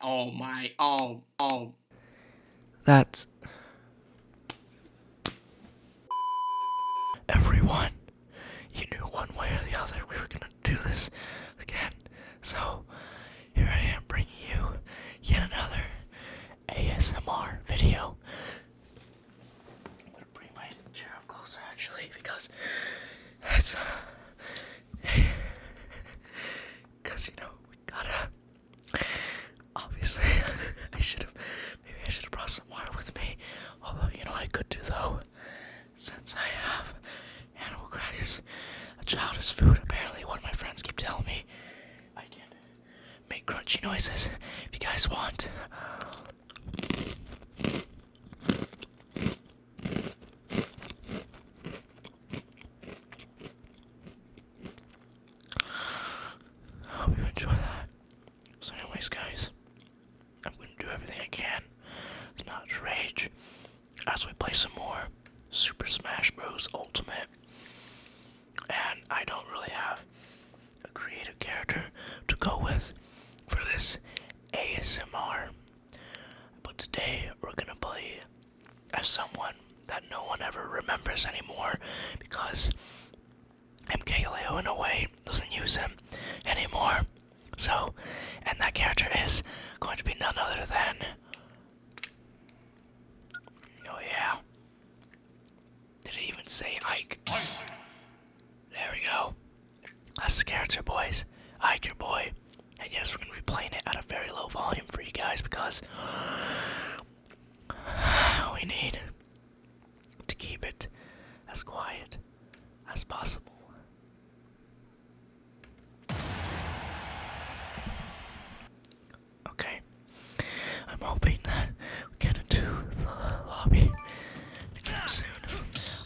oh my oh oh. That's everyone. You knew one way or the other we were gonna do this again. So here I am bringing you yet another ASMR video. I'm gonna bring my chair up closer actually because that's. Cause you know we gotta. Obviously, I should have. Maybe I should have brought some water with me. Although you know I could do though, since I have animal crackers, a child is food. Apparently, one of my friends keep telling me I can make crunchy noises if you guys want. I hope you enjoy So, anyways, guys, I'm gonna do everything I can to not rage as we play some more Super Smash Bros. Ultimate. And I don't really have a creative character to go with for this ASMR. But today we're gonna play as someone that no one ever remembers anymore because MKLeo in a way doesn't use him anymore. So, and that character is going to be none other than. Oh, yeah. Did it even say Ike? There we go. That's the character, boys. Ike, your boy. And yes, we're going to be playing it at a very low volume for you guys because we need to keep it as quiet as possible. Okay, I'm hoping that we get into the lobby soon.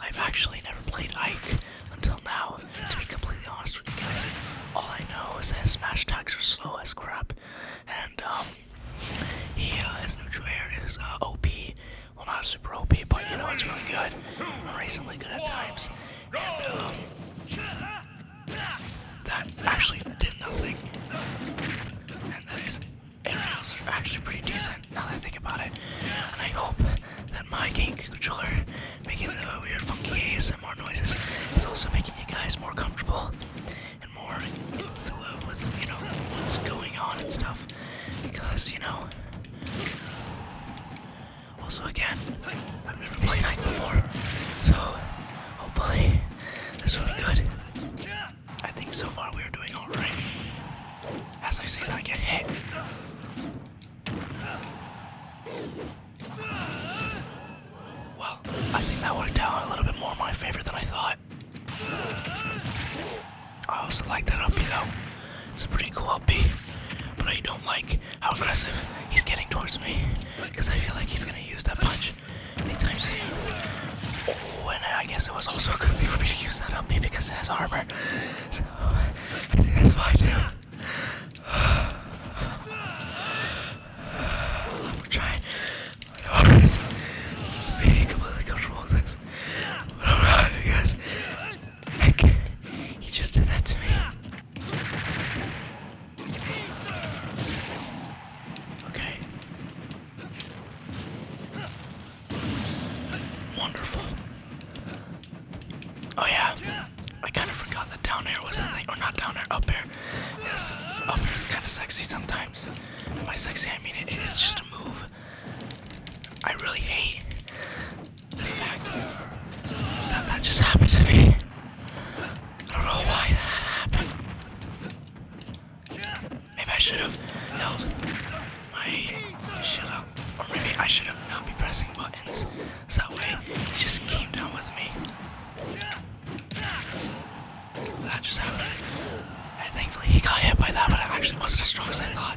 I've actually never played Ike until now. To be completely honest with you guys, all I know is that his smash attacks are slow as crap, and um, he uh, his neutral air is uh, OP. Well, not super OP, but you know it's really good. Reasonably good at times, and um, that actually did nothing. And that is everything else are actually pretty decent now that I think about it. I hope that my game controller making the weird funky ASMR noises is also making you guys more comfortable and more into the you know what's going on and stuff. Because you know also again, I've never played night before. So hopefully this will be good. I think so far we are doing alright. As I say I get hit. Well, I think that worked out a little bit more in my favor than I thought. I also like that upbeat though. It's a pretty cool upbeat. But I don't like how aggressive he's getting towards me. Because I feel like he's gonna use that punch anytime soon. Oh, and I guess it was also good for me to use that upbeat because it has armor. So I think that's fine I'm trying. I'm being completely comfortable with this. I do guys. he just did that to me. Okay. Wonderful. Oh yeah, I kind of forgot that down air was a thing, or not down air, up air. Yes, up air is kind of sexy sometimes. By sexy, I mean it's just a move. I really hate the fact that that just happened to me. I don't know why that happened. Maybe I should have held my should have, or maybe I should have not be pressing buttons. So that uh, way, he just came down with me. That just happened. And thankfully, he got hit by that, but it actually wasn't as strong as I thought.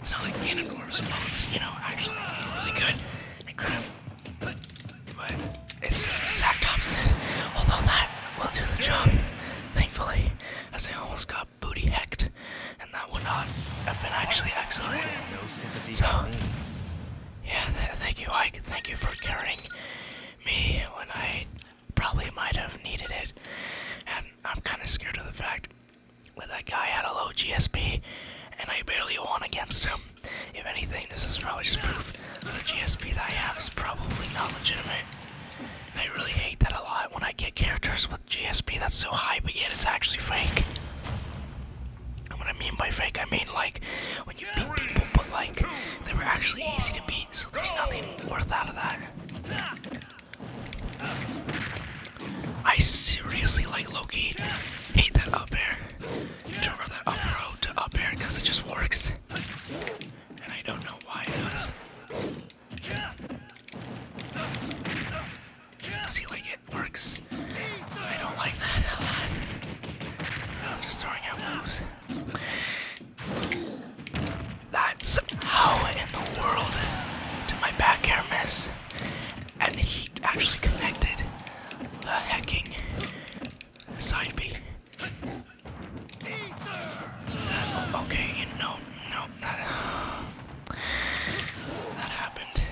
It's not like Ganondorf's fault, you know, actually really good and crap. But it's the exact opposite. Although that will do the job, thankfully, as I almost got booty hecked, and that would not have been actually excellent. So, yeah, thank you, Ike. Thank you for caring me when I probably might have needed it. And I'm kind of scared of the fact that that guy had a low GSP, and I barely won against him. If anything, this is probably just proof that the GSP that I have is probably not legitimate. And I really hate that a lot when I get characters with GSP that's so high, but yet it's actually fake. And what I mean by fake, I mean like when you beat people, but like they were actually easy to beat, so there's nothing worth out of that. I seriously like Loki. Hate that up air. To that up row to up air because it just works. And I don't know why it does. See, like it works. I don't like that a lot. I'm just throwing out moves. That's how in the world did my back air miss? And he actually connected the hecking side B. Okay, no, no, that, happened.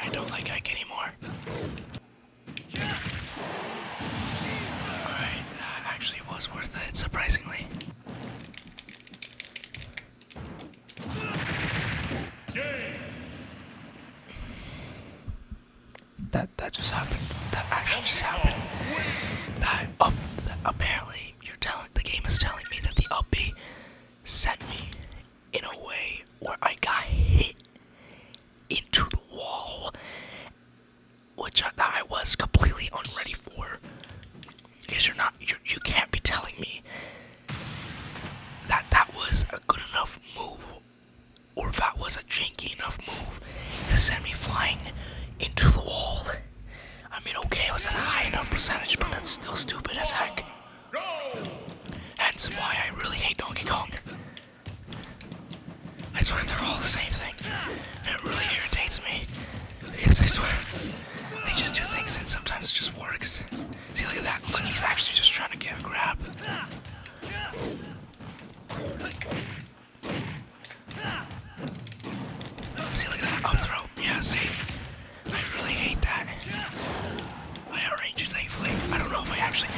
I don't like Ike anymore. Alright, that actually was worth it, surprisingly. That that just happened. That actually just happened. That up oh, apparently you're telling the game is telling me that the up sent me in a way where I got hit into the wall, which I, was completely unready for. Because you're not, you're, you are not you you can not be telling me that that was a good enough move, or that was a janky enough move to send me flying into the wall. I mean, okay, it was a high enough percentage, but that's still stupid as heck. Hence why I really hate Donkey Kong. I swear they're all the same thing. it really irritates me. Because I swear, they just do things and sometimes just works. See, look at that. Look, he's actually just trying to get a grab. See, look at that up throw. Yeah, see? I really hate that. I arranged it I don't know if I actually.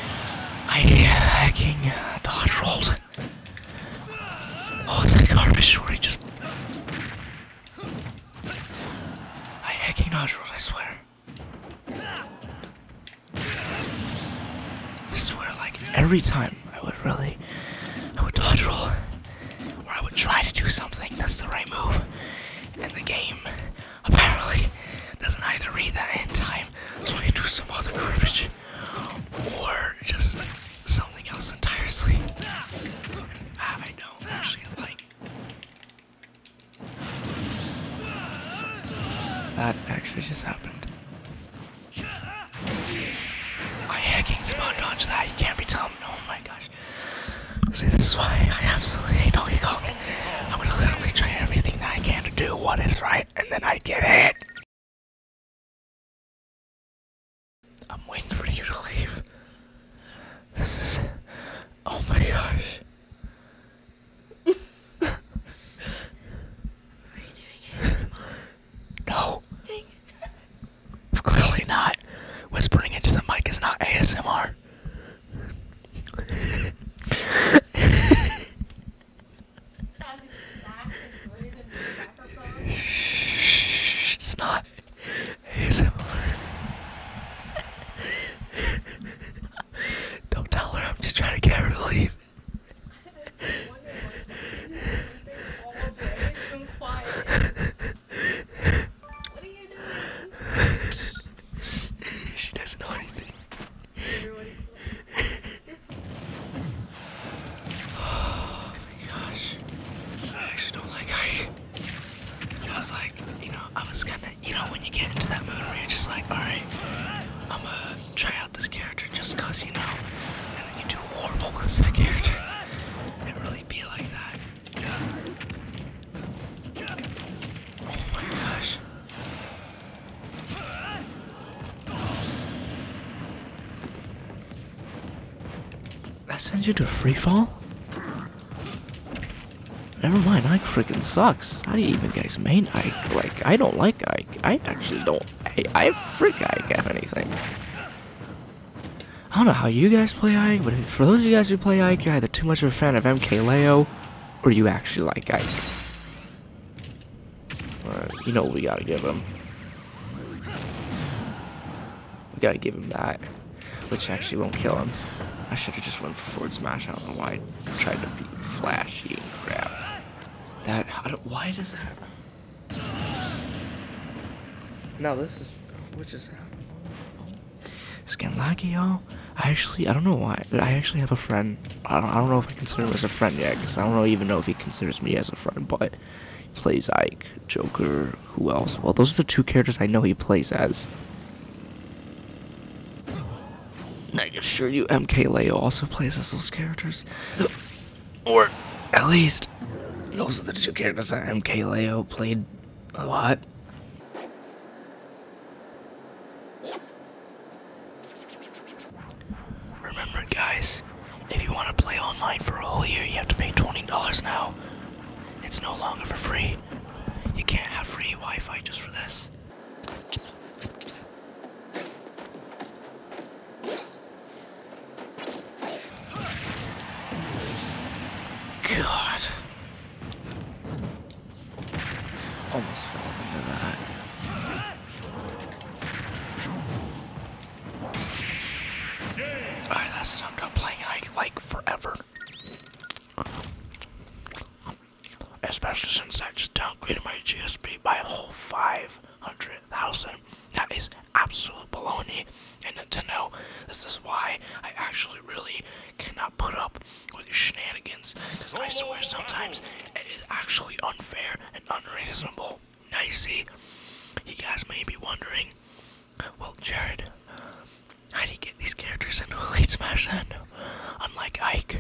I uh, hacking uh, dodge rolled. Oh, it's that garbage story. Just. I hacking dodge rolled. I swear. I swear, like every time I would really, I would dodge roll or I would try to do something that's the right move, and the game apparently doesn't either read that in time, so I do some other garbage, or just something else entirely. Ah, that actually just happened. I hacking spawn dodge that, you can't be telling me. Oh my gosh. See, this is why I absolutely hate Donkey Kong. I'm gonna literally try everything that I can to do what is right, and then I get hit. I'm waiting for you to leave. This is. Oh my gosh. Are you doing ASMR? No. Clearly not. Whispering into the mic is not ASMR. Shh, it's not ASMR. Don't tell her I'm just trying to get her to leave. she doesn't know anything. oh my gosh. I actually don't like hiking. I was like, you know, I was gonna, you know, when you get into that mood where you're just like, alright, I'm gonna try out this character just cause, you know, and then you do horrible second. character. It really be like that. Oh my gosh! That sends you to free fall? Never mind, Ike freaking sucks. How do you even get his main Ike? Like, I don't like Ike. I actually don't. I, I freak Ike, if anything. I don't know how you guys play Ike, but for those of you guys who play Ike, you're either too much of a fan of MK MKLeo, or you actually like Ike. you know what we gotta give him. We gotta give him that, which actually won't kill him. I should've just went for forward smash, I don't know why I tried to be flashy and crap. That, why does that... No, this is, which is... Skin lucky, y'all. I actually, I don't know why. I actually have a friend. I don't, I don't know if I consider him as a friend yet, because I don't even know if he considers me as a friend, but he plays Ike, Joker, who else? Well, those are the two characters I know he plays as. And I assure you, MKLeo also plays as those characters. Or, at least, those are the two characters that MKLeo played a lot. Remember guys, if you want to play online for a whole year, you have to pay $20 now. It's no longer for free. You can't have free Wi-Fi just for this. God. Almost fell into that. Alright, that's it. I'm done playing like forever. Especially since I just downgraded my GSP by a whole 500,000. That is absolute baloney and to know this is why I actually really cannot put up with your shenanigans because I swear sometimes it is actually unfair and unreasonable. Now you see, you guys may be wondering, well, Jared, how do you get these characters into Elite Smash then? Unlike Ike.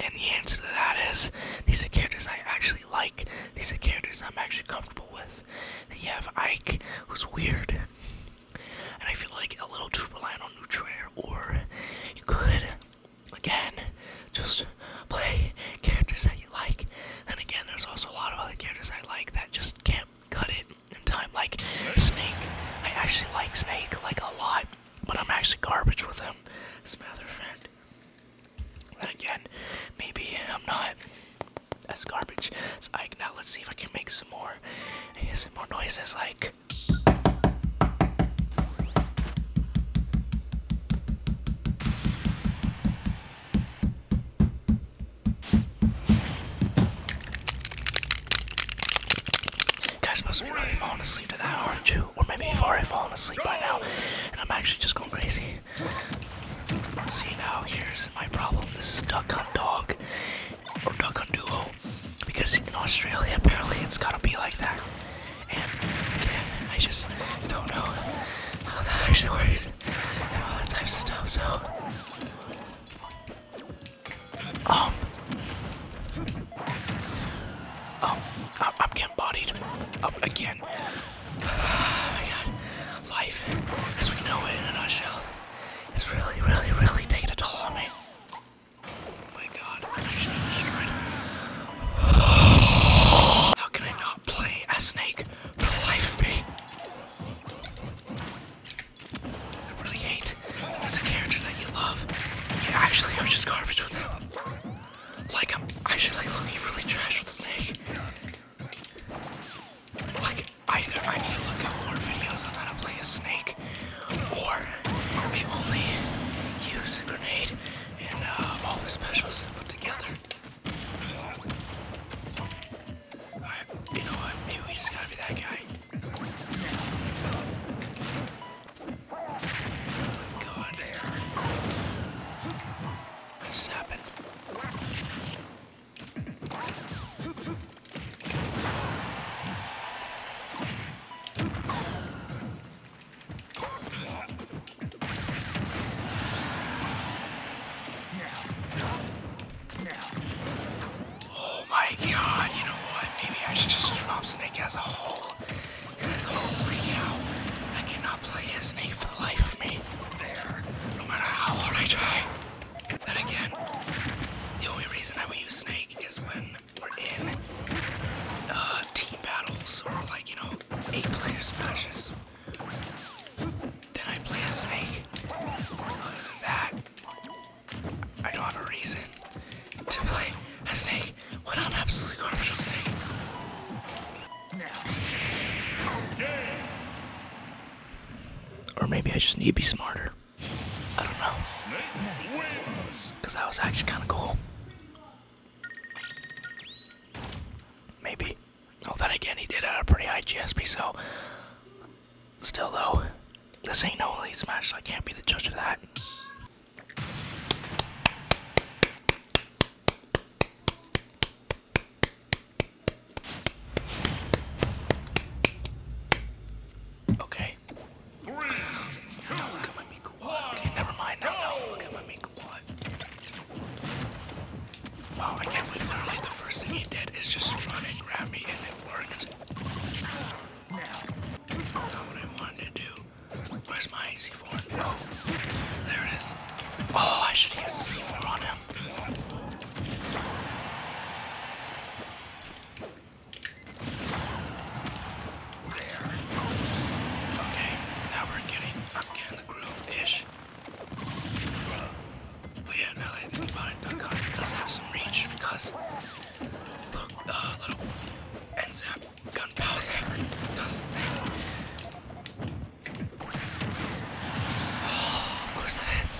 And the answer to that is, these are characters I actually like. These are characters I'm actually comfortable with. you have Ike, who's weird and I feel like a little too reliant on Nutriair, or you could, again, just play characters that you like. And again, there's also a lot of other characters I like that just can't cut it in time, like Snake. I actually like Snake, like, a lot, but I'm actually garbage with him, as a matter of fact. And again, maybe I'm not that's garbage. It's I, now let's see if I can make some more, some more noises like. You guys must be really falling asleep to that, aren't you? Or maybe you've already fallen asleep right now, and I'm actually just going crazy. See now, here's my problem. This is Duck Hunt Dog, or duck on duo because in Australia apparently it's gotta be like that. And again, I just don't know how that actually works and all that type of stuff. So, um, um, I'm getting bodied up again. Oh life as we know it in a it's really, really, really taking a toll on me. Oh my god, How can I not play a snake for the life of me? I really hate it's a character that you love. Yeah, actually, I just garbage with him. Like, I'm actually like, looking really trash with the snake. Like, either I need to look at more videos on how to play a snake, or we only use a grenade and uh, all the specials put together. you know what? Maybe we just gotta be that guy. Go on there. What Oh my god, you know what? Maybe I should just drop Snake as a whole. Because holy cow, I cannot play as Snake for the life of me. There. No matter how hard I try. But again, the only reason I would use Snake is when we're in uh, team battles or like, you know, eight player smashes. Then I play Snake. Other than that, I don't have a reason to play Snake when I'm absolutely garbage with Snake. Or maybe I just need to be smarter. I don't know. Because that was actually kind of cool. Maybe. Oh, then again, he did have a pretty high GSP, so. Still, though, this ain't no elite smash, so I can't be the judge of that. Okay. Now never mind. Now, now look at my Mika Wad. Wow, I can't believe literally the first thing he did is just run and me and it worked. Not what I wanted to do. Where's my ac 4 there it is. Oh, I should use the C4 on him. There. Okay, now we're getting, I'm getting the groove-ish. But yeah, now that I think about it, Duck Hunter does have some reach because the uh, little NZAP gunpowder there does the thing. Oh, of course that hits.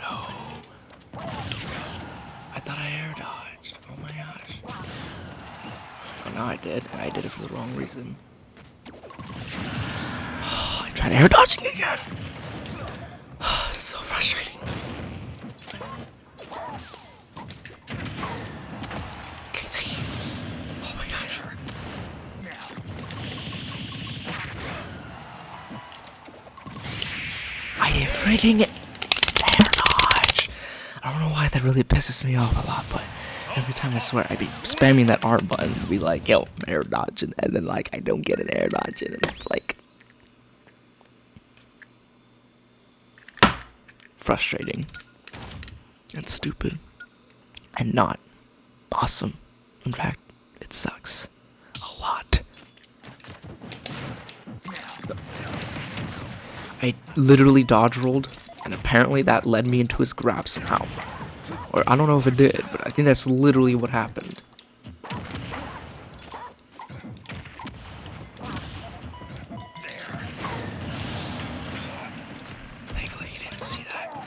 No. I thought I air dodged. Oh my gosh. Well, oh, now I did, I did it for the wrong reason. I'm trying to air dodge again. it's so frustrating. Okay, thank you. Oh my gosh. I am freaking Dodge. I don't know why that really pisses me off a lot, but every time I swear I'd be spamming that R button to be like, yo, air dodge!" and then like I don't get an air dodge, and it's like frustrating and stupid and not awesome. In fact, it sucks a lot. I literally dodge rolled, and apparently that led me into his grab somehow. Or I don't know if it did, but I think that's literally what happened. Thankfully, he didn't see that.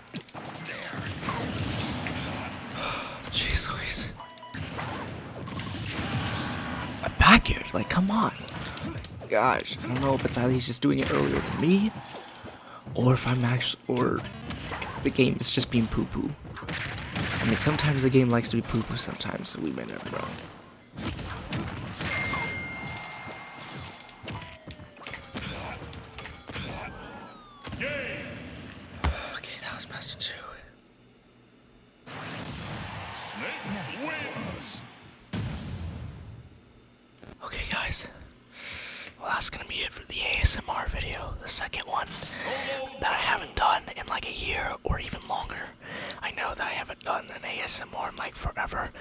Jeez Louise. A package? Like, come on. Gosh, I don't know if it's either he's just doing it earlier to me, or if I'm actually, or if the game is just being poopoo. I mean, sometimes the game likes to be poopoo. sometimes, so we may never know. Okay, that was best two. Snake wins. Okay, guys. Well, that's gonna be it for the ASMR video, the second one that I haven't done in like a year or even longer. I know that I haven't done an ASMR in like forever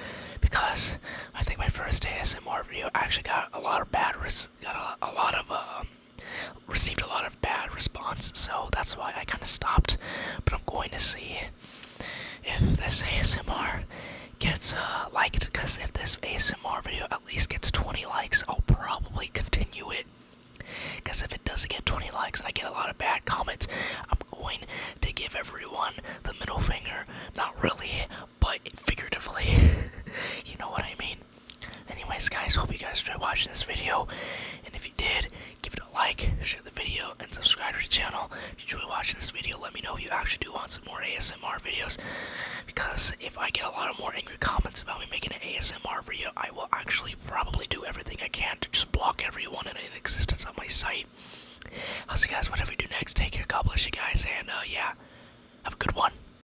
because I think my first ASMR video actually got a lot of bad res got a, a lot of um, received a lot of bad response, so that's why I kind of stopped. But I'm going to see if this ASMR gets uh, liked, because if this ASMR video at least gets 20 likes, I'll probably continue it. Because if it doesn't get 20 likes and I get a lot of bad comments, I'm going to give everyone the middle finger. Not really, but figuratively. you know what I mean? Anyways, guys, hope you guys enjoyed watching this video. And if you did, give it a like, share the video, and subscribe to the channel. If you enjoy watching this video, let me know if you actually do want some more ASMR videos. Because if I get a lot of more angry comments about me making an ASMR video, I will actually probably do everything I can to just block everyone in existence on my site. I'll see you guys whatever we do next. Take care. God bless you guys. And, uh, yeah, have a good one.